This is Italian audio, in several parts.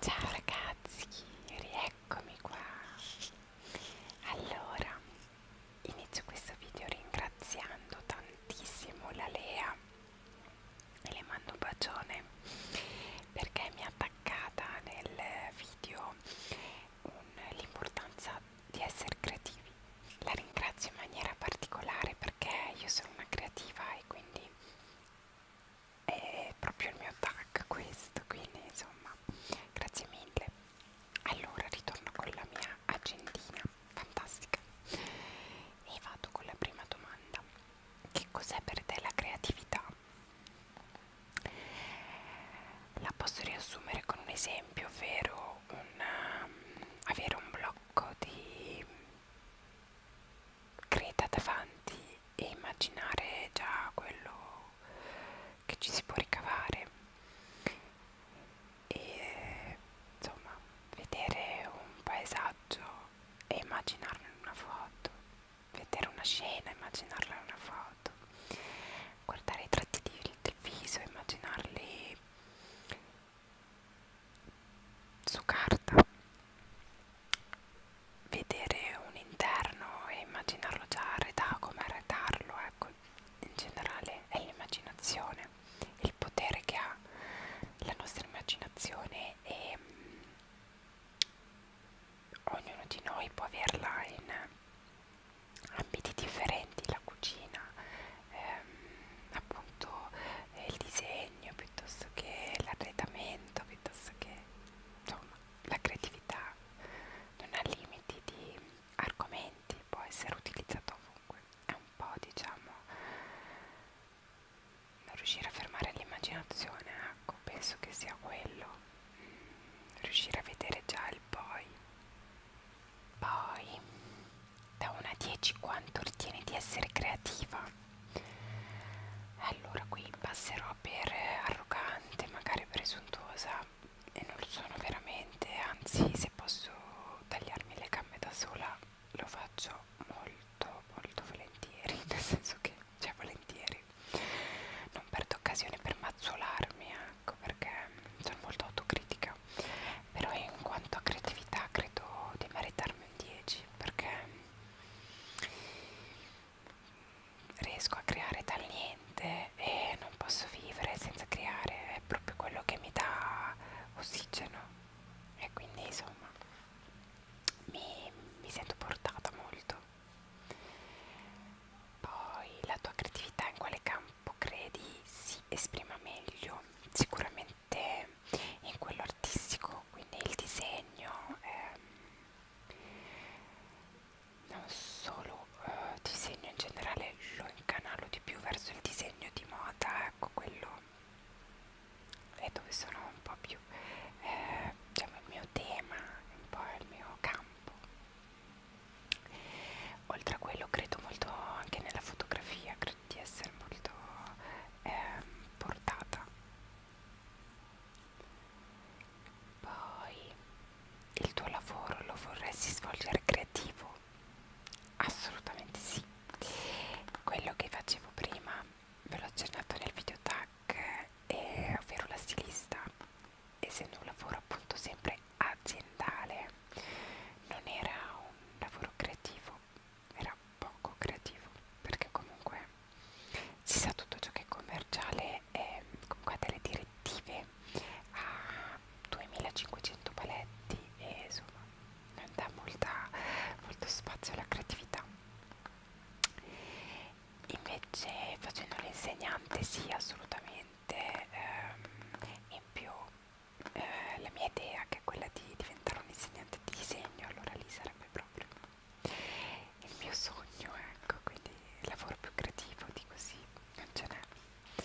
Ciao ragazzi, rieccomi qua. Allora, inizio questo video ringraziando tantissimo la Lea e le mando un bacione perché mi ha attaccata nel video l'importanza di essere creativi la ringrazio in maniera particolare perché io sono una creativa e quindi è proprio il mio tag questo, quindi insomma grazie mille. Allora ritorno con la mia agendina fantastica e vado con la prima domanda. Che cos'è per te la creatività? La posso riassumere con un esempio, ovvero un, um, avere un blocco di creta davanti e immaginare già quello che ci si può ricavare e insomma vedere un paesaggio e immaginarlo in una foto vedere una scena immaginarla in una foto guardare i tratti di, del viso immaginarli su carta vedere un interno e immaginarlo già arredato come arredarlo ecco in generale è l'immaginazione il potere che ha la nostra immaginazione e mm, ognuno di noi può averla in ambiti differenti la cucina ehm, appunto eh, il disegno piuttosto che l'arredamento piuttosto che insomma la creatività non ha limiti di argomenti può essere utilizzato ovunque è un po' diciamo non riuscire a fermare l'immaginazione ecco penso che sia quello mm, riuscire a vedere già il poi poi da 1 a 10 quanto ritieni di essere creativa allora qui passerò per eh, arrogante magari presuntuosa e non lo sono veramente anzi se posso tagliarmi le gambe da sola lo faccio molto molto volentieri nel senso che cioè volentieri non perdo occasione per mazzolarmi ecco perché mm, sono molto autocritica meglio però in quanto a creatività credo di meritarmi un 10 perché riesco a creare dal niente e non posso vivere senza creare è proprio quello che mi dà ossigeno e quindi insomma mi, mi sento portata molto poi la tua creatività in quale campo campo credi si esprima meglio sicuramente in quello artistico quindi il disegno ehm, non solo eh, disegno in generale lo incanalo di più verso il disegno di moda ecco quello è dove sono un po' più eh, diciamo il mio tema un po' il mio campo oltre a quello credo molto anche nella fotografia credo di essere molto eh, portata poi il tuo lavoro lo vorresti svolgere creativo assolutamente sì quello che facevo prima ve l'ho accennato nel video tag eh, ovvero la stilista essendo un lavoro appunto sempre aziendale non era un lavoro creativo era poco creativo perché comunque si sa tutto ciò che è commerciale è comunque ha delle direttive a 2500 paletti e insomma non dà molta, molto spazio alla creatività invece facendo l'insegnante sì assolutamente sicuramente ehm, in più eh, la mia idea che è quella di diventare un insegnante di disegno, allora lì sarebbe proprio il mio sogno, ecco, quindi il lavoro più creativo di così non ce n'è.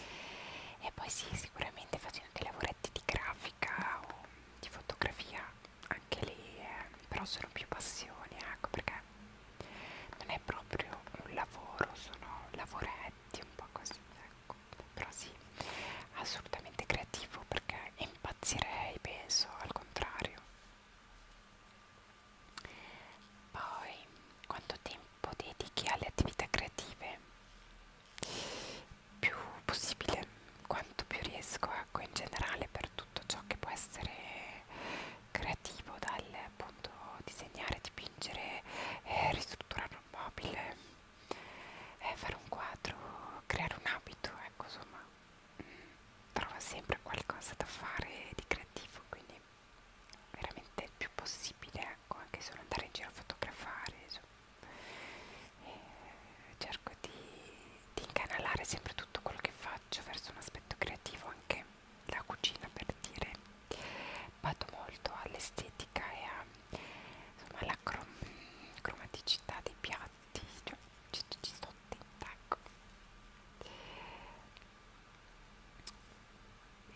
E poi sì, sicuramente facendo dei lavoretti di grafica o di fotografia, anche lì, eh, però sono più passioni, ecco, perché non è proprio un lavoro, sono lavoretti infatti un po' così ecco però sì assolutamente creativo perché impazzirei penso al contrario poi quanto tempo dedichi alle attività creative più possibile quanto più riesco ecco in generale per tutto ciò che può essere creativo dal punto appunto disegnare, dipingere, eh, ristrutturare un mobile, eh, fare un quadro, creare un abito, ecco insomma mh, mm, trova sempre qualcosa da fare di creativo, quindi veramente il più possibile, ecco, anche solo andare in giro a fotografare, insomma. E eh, cerco di, di incanalare sempre tutto quello che faccio verso un aspetto creativo anche la cucina per dire vado molto all'estetica e a, insomma, alla crom cromaticità dei piatti cioè, ci, ci sto attenta ecco.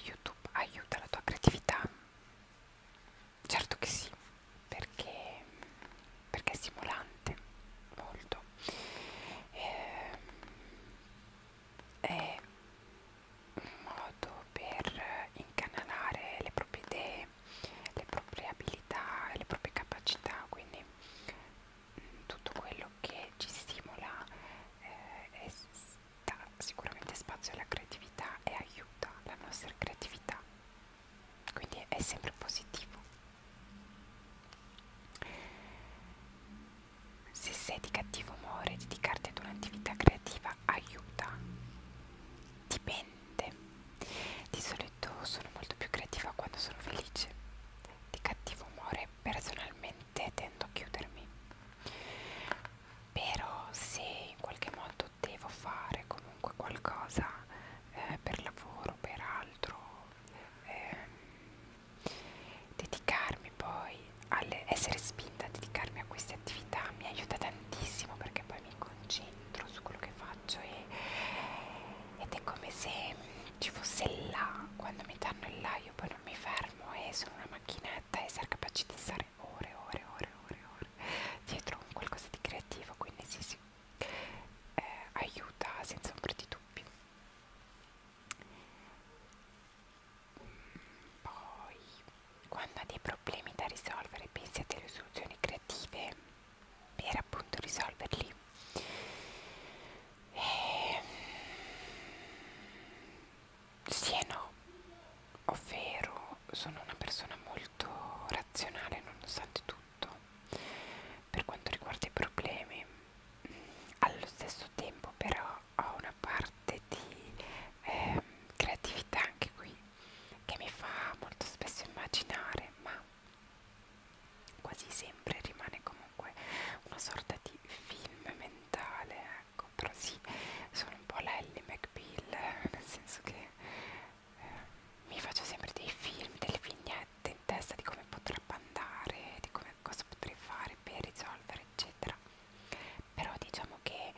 youtube aiuta la tua creatività certo che sì perché, perché è stimolante molto eh, è modo per incanalare le proprie idee, le proprie abilità e le proprie capacità, quindi mm, tutto quello che ci stimola eh, e dà sicuramente spazio alla creatività e aiuta la nostra creatività, quindi è sempre positivo. Se sei di cattivo umore, dedicarti ad un'attività creativa aiuta. Dipende. Di solito sono molto più creativa quando sono felice. Di cattivo umore personalmente tendo a chiudermi. Però se in qualche modo devo fare comunque qualcosa eh, per lavoro, per altro, eh, dedicarmi poi all'essere spinta a dedicarmi a queste attività mi aiuta tantissimo perché poi mi concentro su quello che faccio e, ed è come se ci fosse il là quando mi danno il là io poi non mi fermo e sono una macchinetta e essere capace di stare ore ore ore ore ore dietro un qualcosa di creativo quindi sì sì eh, aiuta senza ombra di dubbi poi, quando ha dei problemi da risolvere, pensi a delle soluzioni creative per appunto risolverli. E... Ehm, sì e no, ovvero sono una persona molto razionale nonostante tutto per quanto riguarda i problemi allo stesso tempo però ho una parte di eh, creatività anche qui che mi fa molto spesso immaginare ma quasi sempre rimane comunque una sorta di film mentale ecco però sì sono un po' la Ellie McBeal nel senso che eh, mi faccio sempre dei film delle vignette in testa di come potrebbe andare di come cosa potrei fare per risolvere eccetera però diciamo che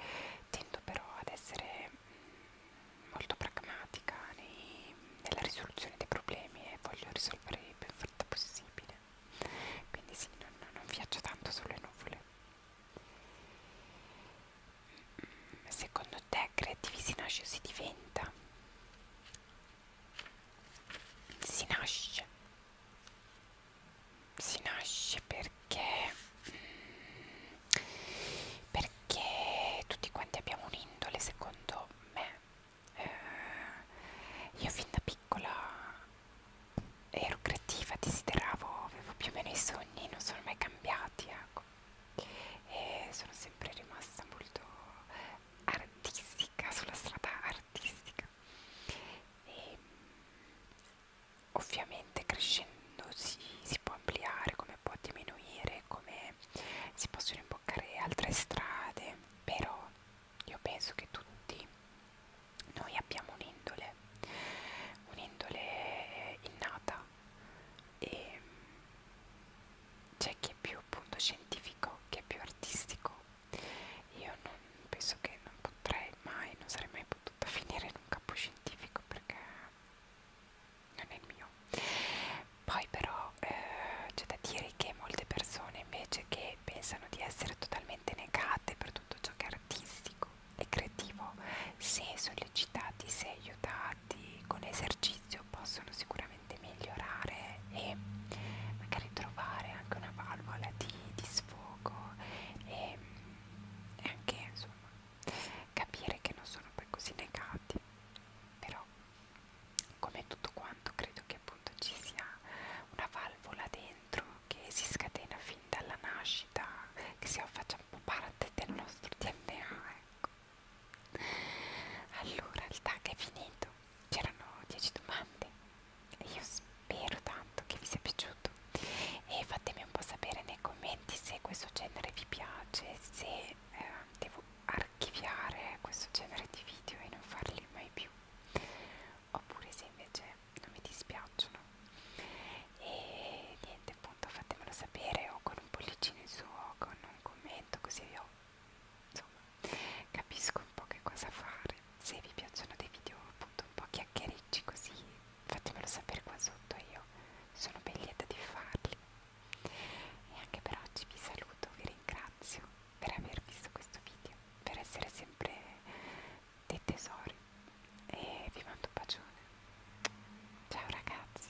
tendo però ad essere mm, molto pragmatica nei, nella risoluzione dei problemi e voglio risolvere il più in fretta possibile quindi sì, non, non viaggio tanto sulle nuvole mm, secondo te creativi si nasce o si diventa? si nasce si nasce perché mm, perché tutti quanti abbiamo un'indole secondo me eh, io fin da piccola ero creativa desideravo avevo più o meno i sogni non sono mai cambiati ecco e sono sempre rimasta molto artistica, sulla strada artistica. E, ovviamente crescendo si, si può ampliare, come può diminuire, come si possono imboccare altre strade, però io penso che tutti noi abbiamo un'indole, un'indole eh, innata e c'è chi è più appunto scientifico che è più artistico io non penso che non potrei mai non sarei mai potuta finire in un campo scientifico perché non è il mio poi però eh, c'è da dire che molte persone invece che pensano di essere totalmente negate per tutto ciò che è artistico e creativo se sollecitati se aiutati con esercizio possono sicuramente migliorare e magari trovare anche una valvola di, di sfogo e, e anche insomma capire che non sono poi così negati però come tutto quanto credo che appunto ci sia una valvola dentro che si scatena fin dalla nascita che si faccia un po' parte del nostro DNA ecco allora il tag è finito c'erano 10 domande e io spero tanto che vi sia piaciuto e fatemi un po' sapere nei commenti se questo genere vi piace se eh, devo archiviare questo genere di video e non farli mai più oppure se invece non mi dispiacciono e niente appunto fatemelo sapere o con un pollicino in su o con un commento così vi ho insomma capisco un po' che cosa fare se vi piacciono dei video appunto un po' chiacchiericci così fatemelo sapere qua sotto io sono ben lieta di farli e anche per oggi vi saluto vi ringrazio per aver visto questo video per essere sempre dei tesori e vi mando un bacione ciao ragazzi